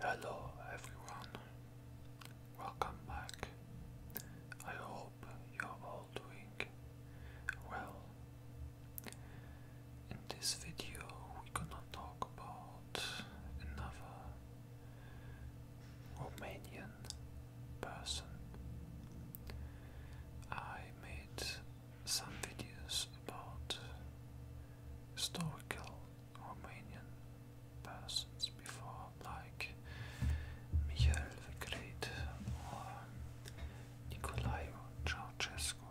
Hello everyone, welcome back. I hope you're all doing well. In this video, we're gonna talk about another Romanian person. I made some videos about historical Romanian persons before, like Michael the Great or Nicolae Ceausescu.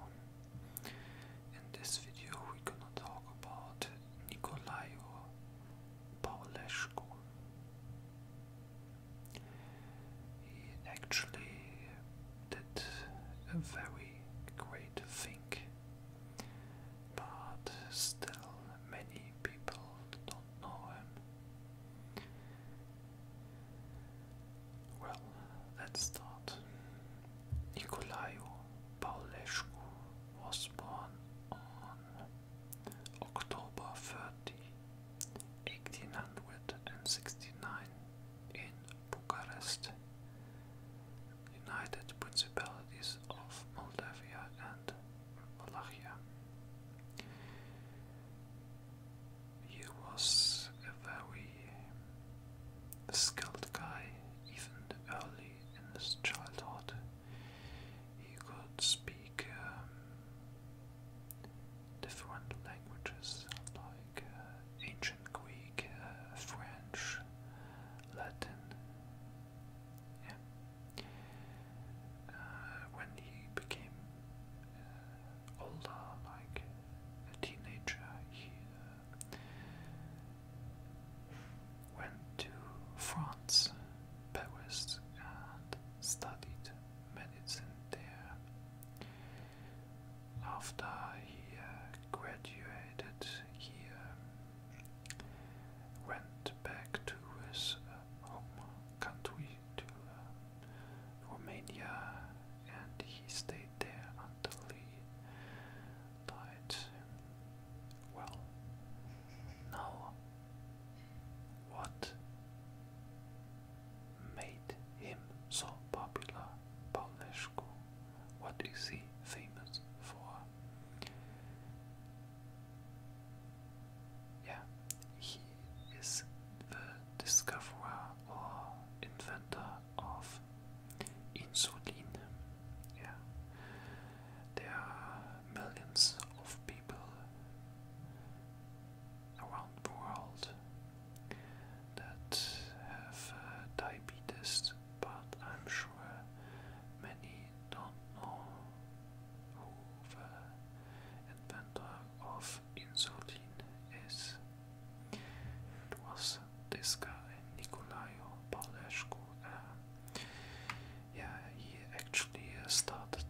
In this video, we're gonna talk about Nicolae Paulescu. He actually did a very great thing but still many people don't know him. Well, let's start. Nicolaou Paulescu was born on October 30, 1869 in Bucharest, united principalities of Moldavia and Wallachia. He was a very skilled guy, even early in his childhood. He could speak um, different languages, uh, ancient Greek, uh, French, Latin. Uh, when he became older, like a teenager, he went to France, Paris, and studied medicine there after he uh, graduated, he went back to his uh, home country, to uh, Romania, and he stayed there until he died. Well, now what made him so popular, Paulescu? What is he famous for? Yeah, he is the discoverer or inventor of insulin. Yeah, there are millions of people around the world that have uh, diabetes, but I'm sure many don't know who the inventor of insulin is. It was this guy, Nicolaio Paulescu. Uh, yeah, he actually uh, started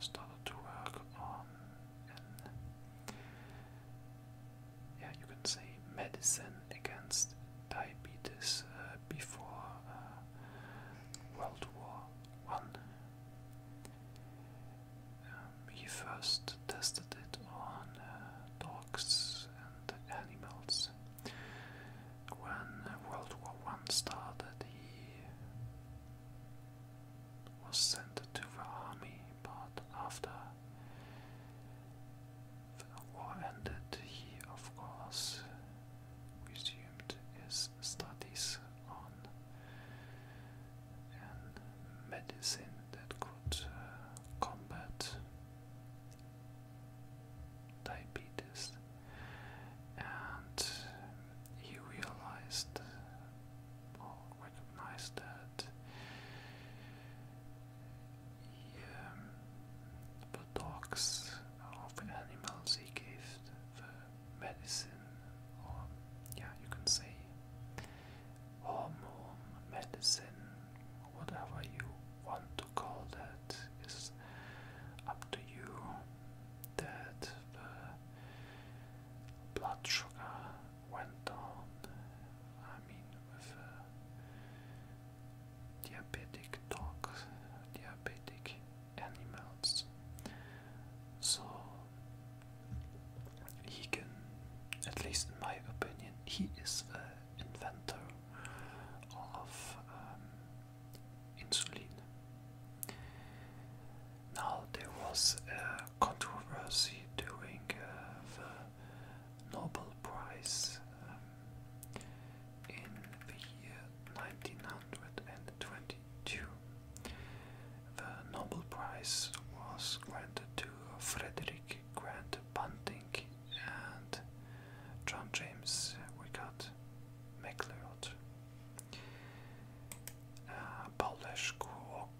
started to work on yeah, you can say medicine against diabetes uh, before uh, World War One. Um, he first tested it on uh, dogs and animals. When World War One started, he was sent to the army, but after the war ended, he, of course, resumed his studies on medicine that could uh, combat diabetes, and he realized, uh, recognize that. the dogs of animals he gave the medicine, or yeah, you can say hormone medicine, whatever you want to call that is up to you. That the blood sugar went on, I mean, with diabetic dogs, diabetic animals, so he can, at least in my opinion, he is the inventor of um, insulin. Now there was a controversy during uh, the Nobel Prize um, in the year 1922. The Nobel Prize was granted to Frederick Grant Bunting and John James Wickard MacLeod. Paul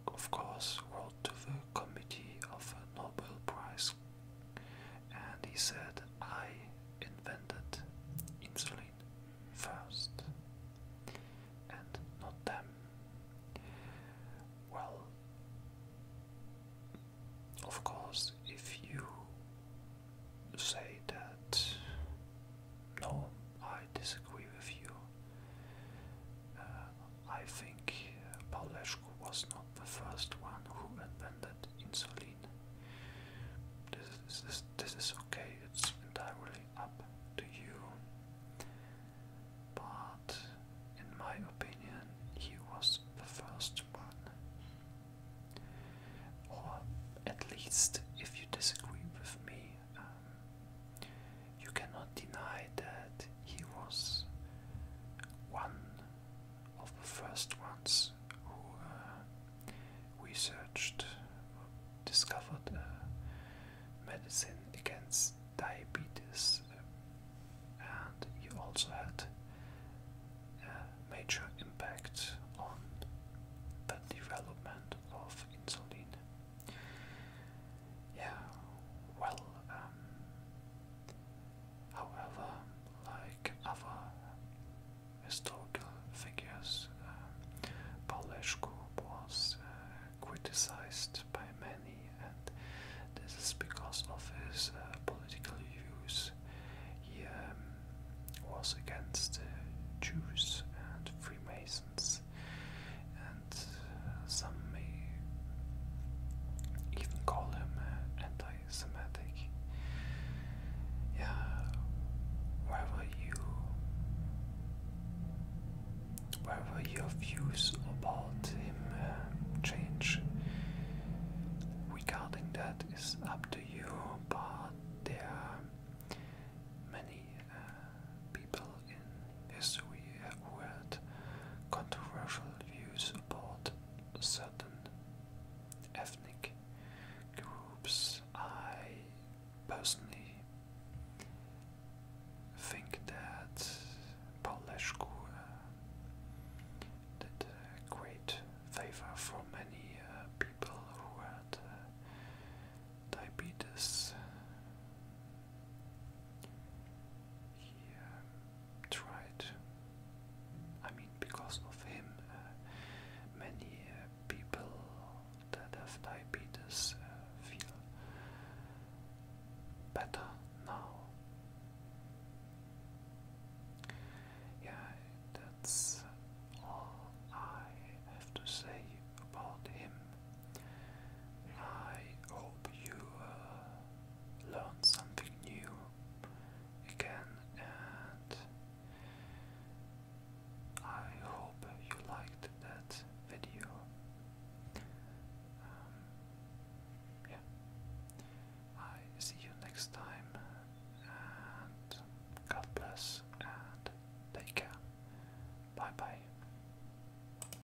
of course, wrote to the Committee of the Nobel Prize and he said, I invented insulin first and not them. Well, of course, if you say that no, I disagree with you, uh, I think uh, Paulescu was not the first one who invented insulin. This is, this, is okay, it's entirely up to you. But in my opinion, he was the first one. Or at least, if you disagree with me, um, you cannot deny that he was one of the first ones who uh, researched, discovered uh, medicine against diabetes, and he also had uh, major impact on the development of insulin. Yeah, well, um, however, like other historical figures, um, Paulescu was uh, criticized by many, and this is because of his uh, political views. He um, was against Jews and Freemasons, uh, some may even call him uh, anti-Semitic. Yeah, wherever you, wherever your views about him uh, change, regarding that is up to you, but there are many uh, people in history who had controversial views about certain ethnic groups. I personally think that Paulescu uh, did great favor for many uh, people who had uh, diabetes he um, tried, I mean, because of him, uh, many uh, people that have diabetes uh, feel better now. Yeah, that's all I have to say about him. I hope you uh, learned something new again, and I hope you liked that video. Um, yeah, I see you next time, and God bless and take care. Bye bye.